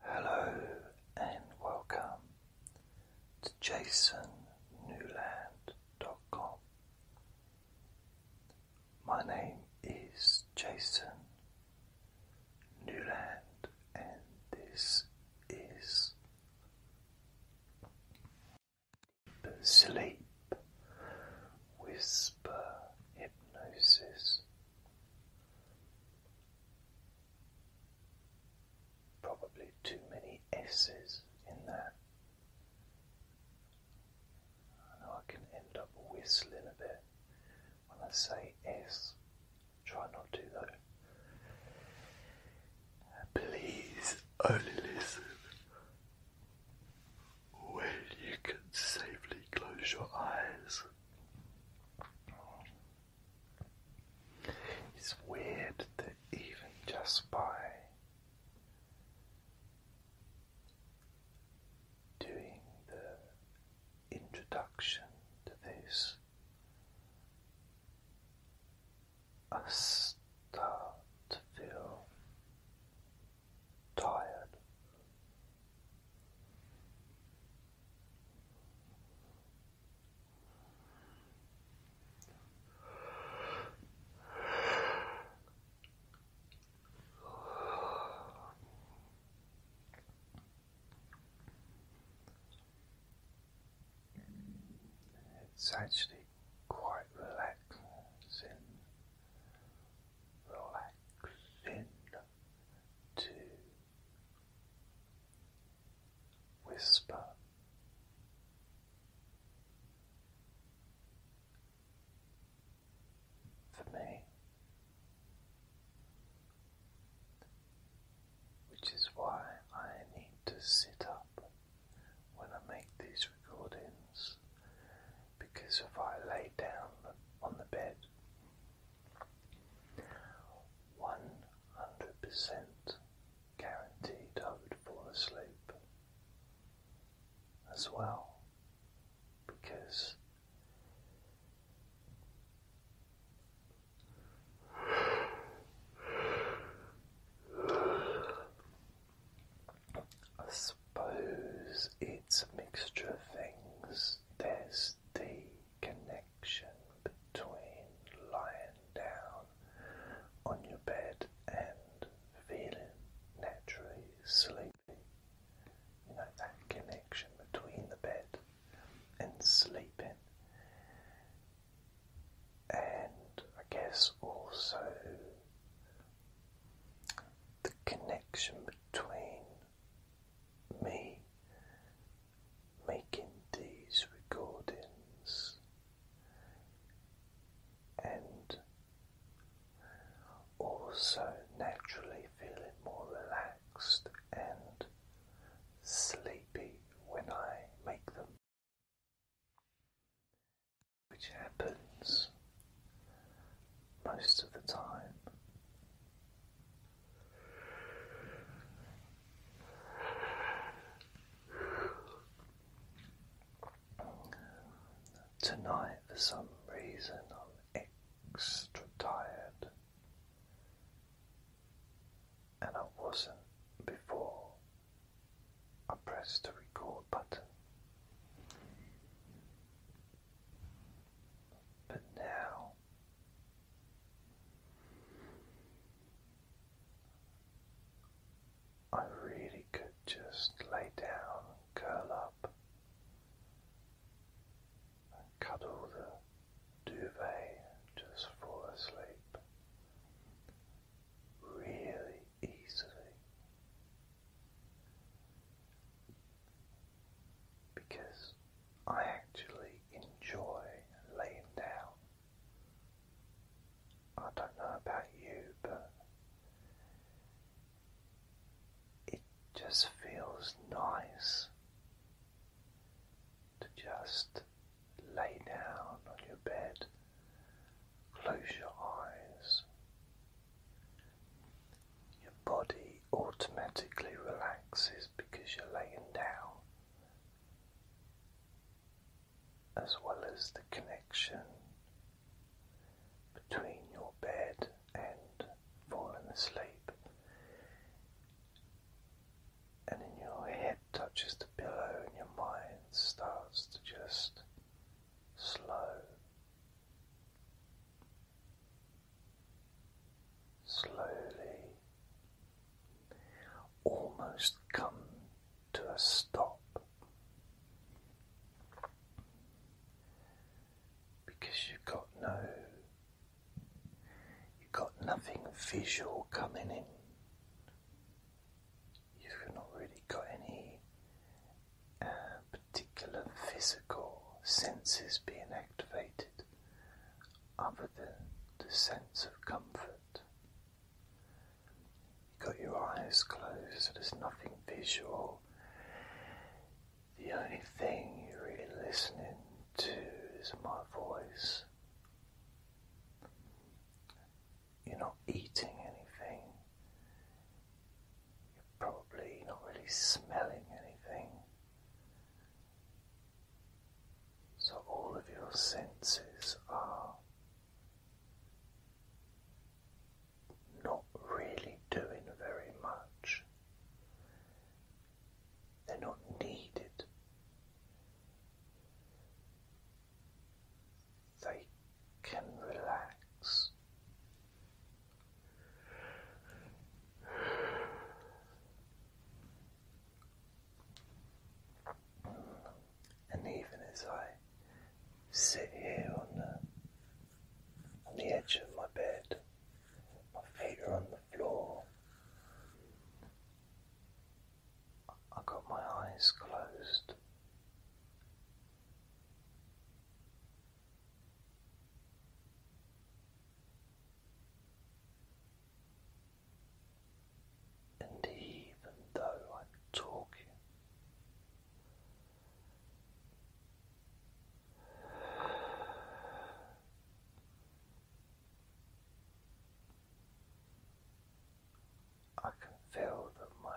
Hello and welcome to jasonnewland.com. My name is Jason Newland, and this is Sleep Whisper Hypnosis. Probably too many S's in there. I know I can end up whistling a bit when I say S. Try not to though. Please only listen when you can safely close your eyes. It's weird that even just by doing the introduction to this, I start to feel tired it's actually quite relaxing, relaxing to Whisper for me, which is why I need to sit up when I make these recordings because if I lay down on the bed one hundred percent guaranteed I would fall asleep as well because I suppose it's a mixture of things. There's the connection between lying down on your bed and feeling naturally sleepy. You know, that connection between the bed and sleeping. And I guess also the connection between me making these recordings and also naturally feeling more relaxed and sleepy when I make them, which happens most of the time. Tonight, for some reason, I'm extra tired, and I wasn't before I pressed the record button. But now I really could just lay down and curl up and cuddle the duvet just fall asleep really easily because I actually enjoy laying down. I don't know about you, but it just feels nice to just lay down on your bed, close your eyes. Your body automatically relaxes because you're laying down as well as the connection between your bed and falling asleep. And then your head touches the pillow, and your mind starts to just slow slowly almost come to a stop because you've got no you've got nothing visual coming in you've not really got any uh, particular physical senses being activated other than the sense of comfort. You've got your eyes closed, so there's nothing visual. The only thing you're really listening to is my voice. You're not eating anything. You're probably not really smelling anything. So all of your senses are not really doing very much. They're not needed. They can relax. And even as I sit here on the, on the edge of my bed, my feet are on the floor. I have got my eyes closed. And even though I'm talking, I can feel that my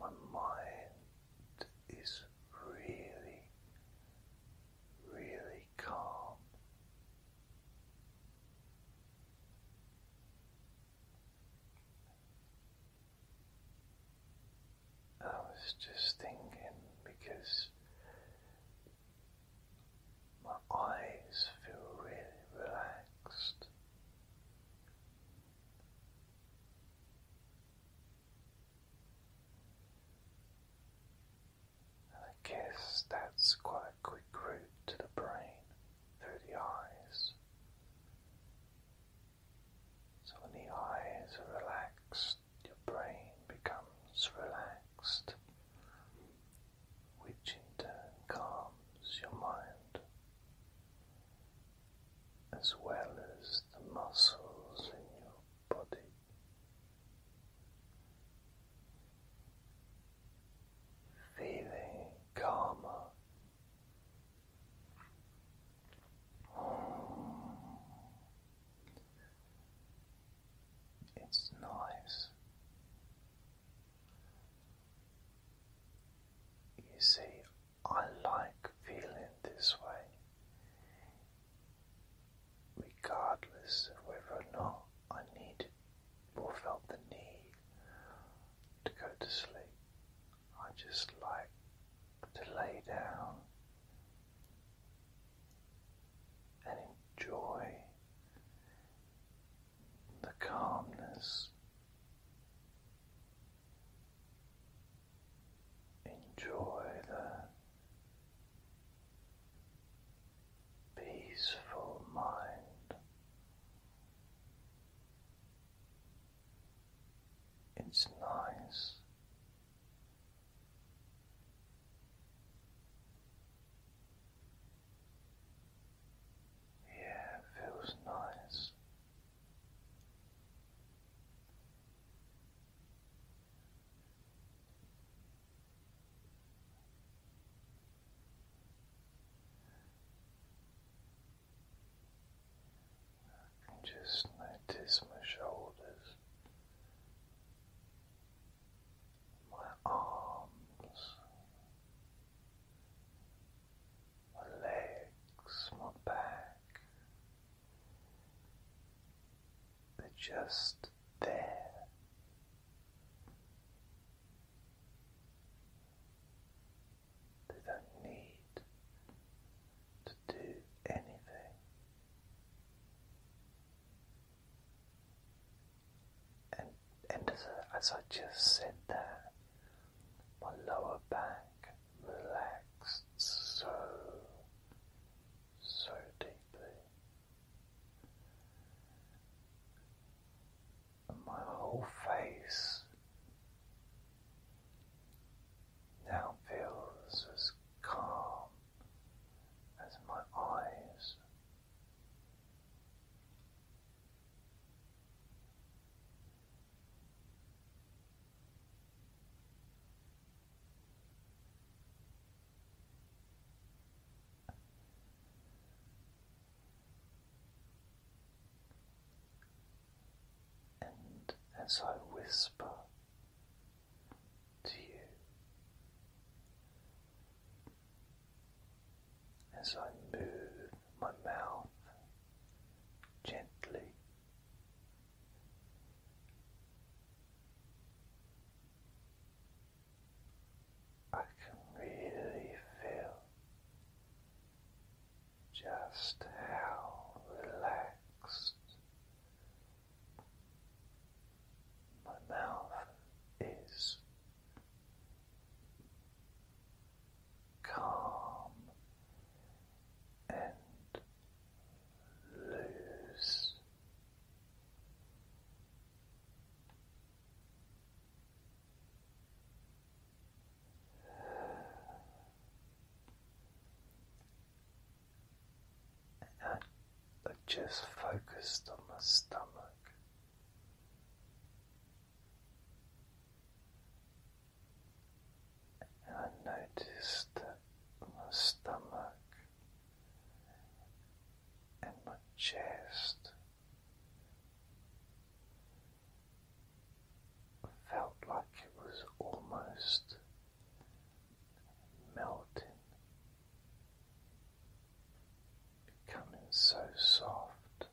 my mind is really, really calm. I was just thinking because my eyes feel really relaxed. And I guess that's quite a quick route to the brain through the eyes. So when the eyes are relaxed, your brain becomes relaxed, which in turn calms your mind, as well as the muscles in your body feeling calmer. It's nice. You see, I like feeling this way regardless of whether or not I needed or felt the need to go to sleep. I just like to lay down and enjoy the calmness. Enjoy the peaceful mind. It's nice yeah feels nice just notice my shoulders, my arms, my legs, my back. They're just there. They don't need to do anything. And, and as, I, just said that, my lower back relaxed so, so deeply my whole face now feels as calm as my eyes. And as I whisper to you, as I move my mouth gently, I can really feel just how relaxed my mouth is calm and loose. I, I just focused on my stomach. And I noticed that my stomach and my chest felt like it was almost melting, becoming so soft,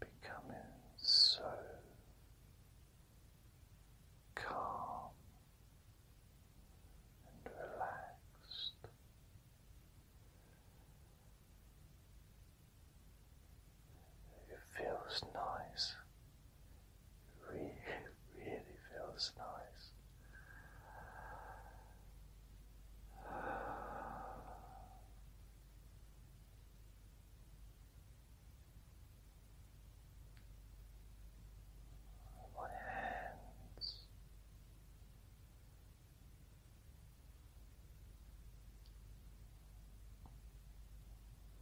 becoming so calm and relaxed. It feels nice. It really, really feels nice. my hands.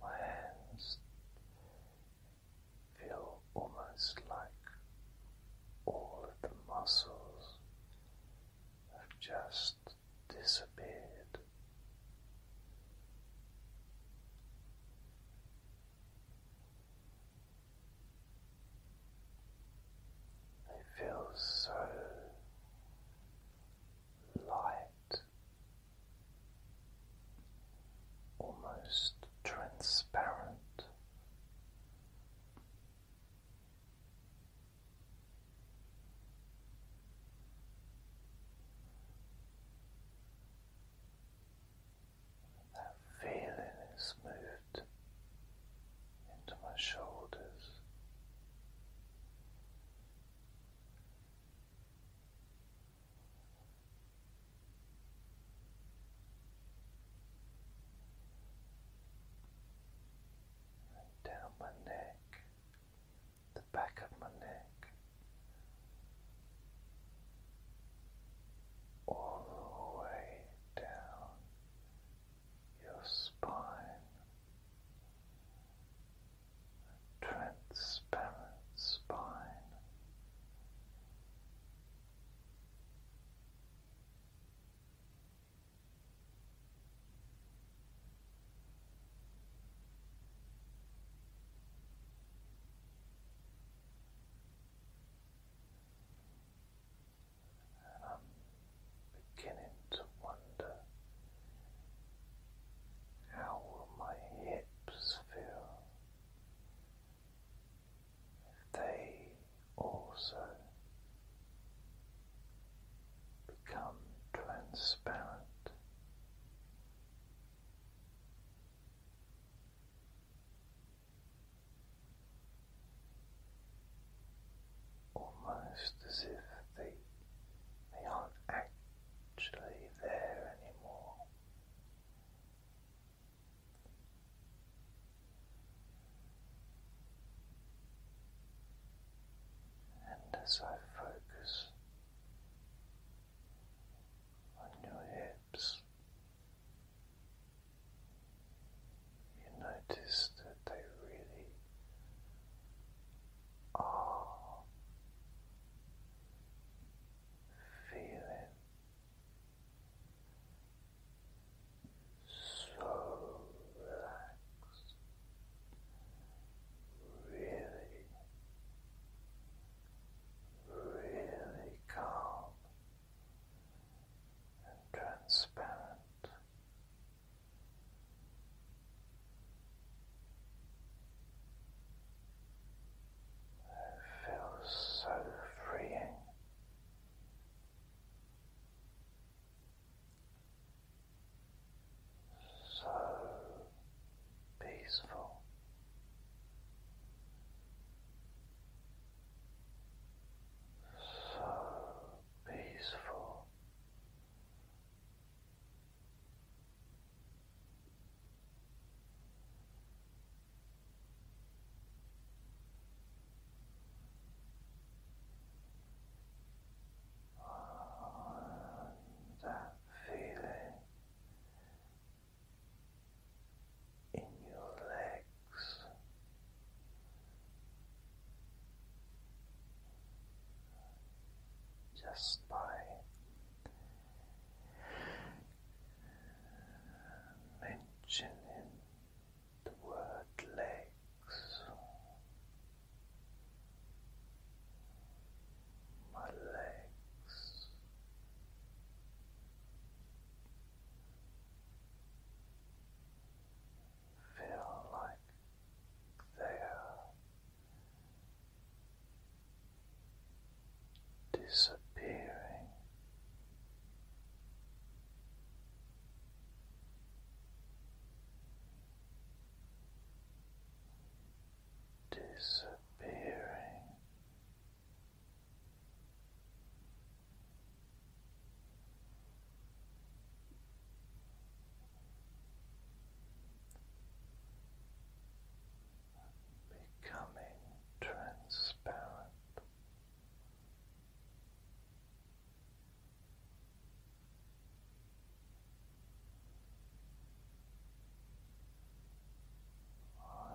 My hands feel almost like all of the muscles have just disappeared. They feel so light, almost transparent. That feeling is moved into my shoulders. And down my neck, the back of my neck, all the way down your spine, transparent spine. I'm beginning to wonder how will my hips feel if they also become transparent almost as if they, they aren't actually there anymore. And as I focus on your hips, lips. You notice that they really are feeling so relaxed, really really calm and transparent. It feels so freeing. So peaceful. So peaceful. that feeling in your legs. Just by mentioning the word legs, my legs Feel like they are disappearing. Disappearing Becoming transparent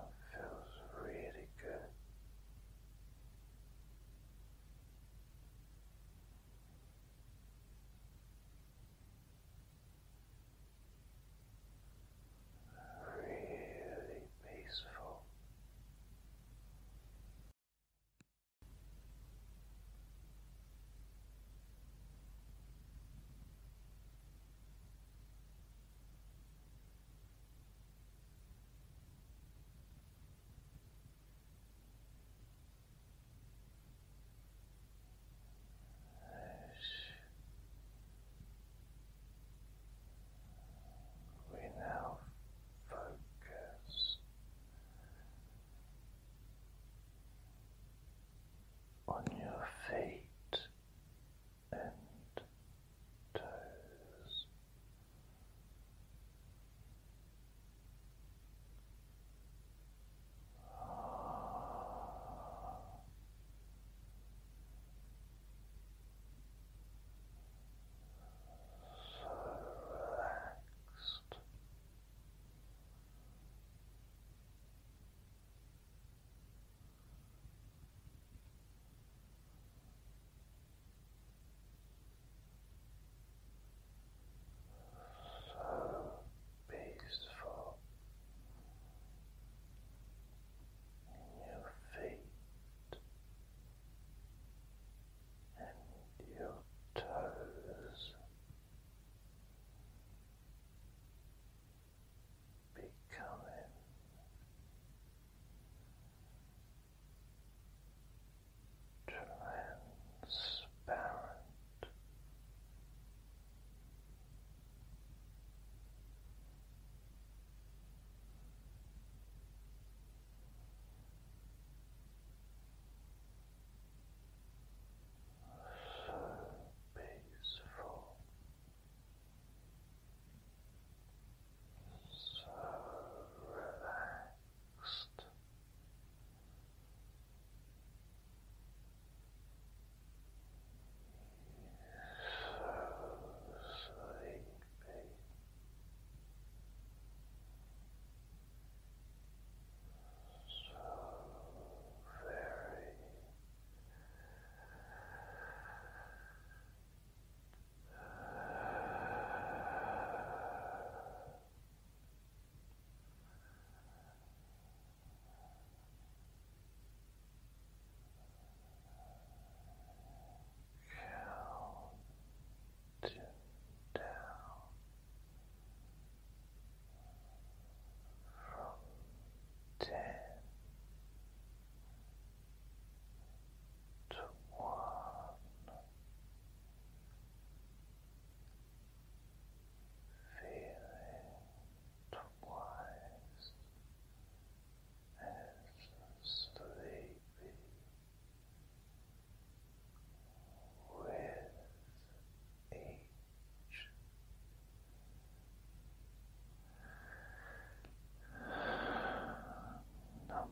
it feels really good. Really peaceful. We now focus on your feet and toes. So relaxed. So peaceful in your feet and your toes becoming transparent. So peaceful so relaxed. So sleepy. So very Count down from ten to one, feeling twice as sleepy with each number now.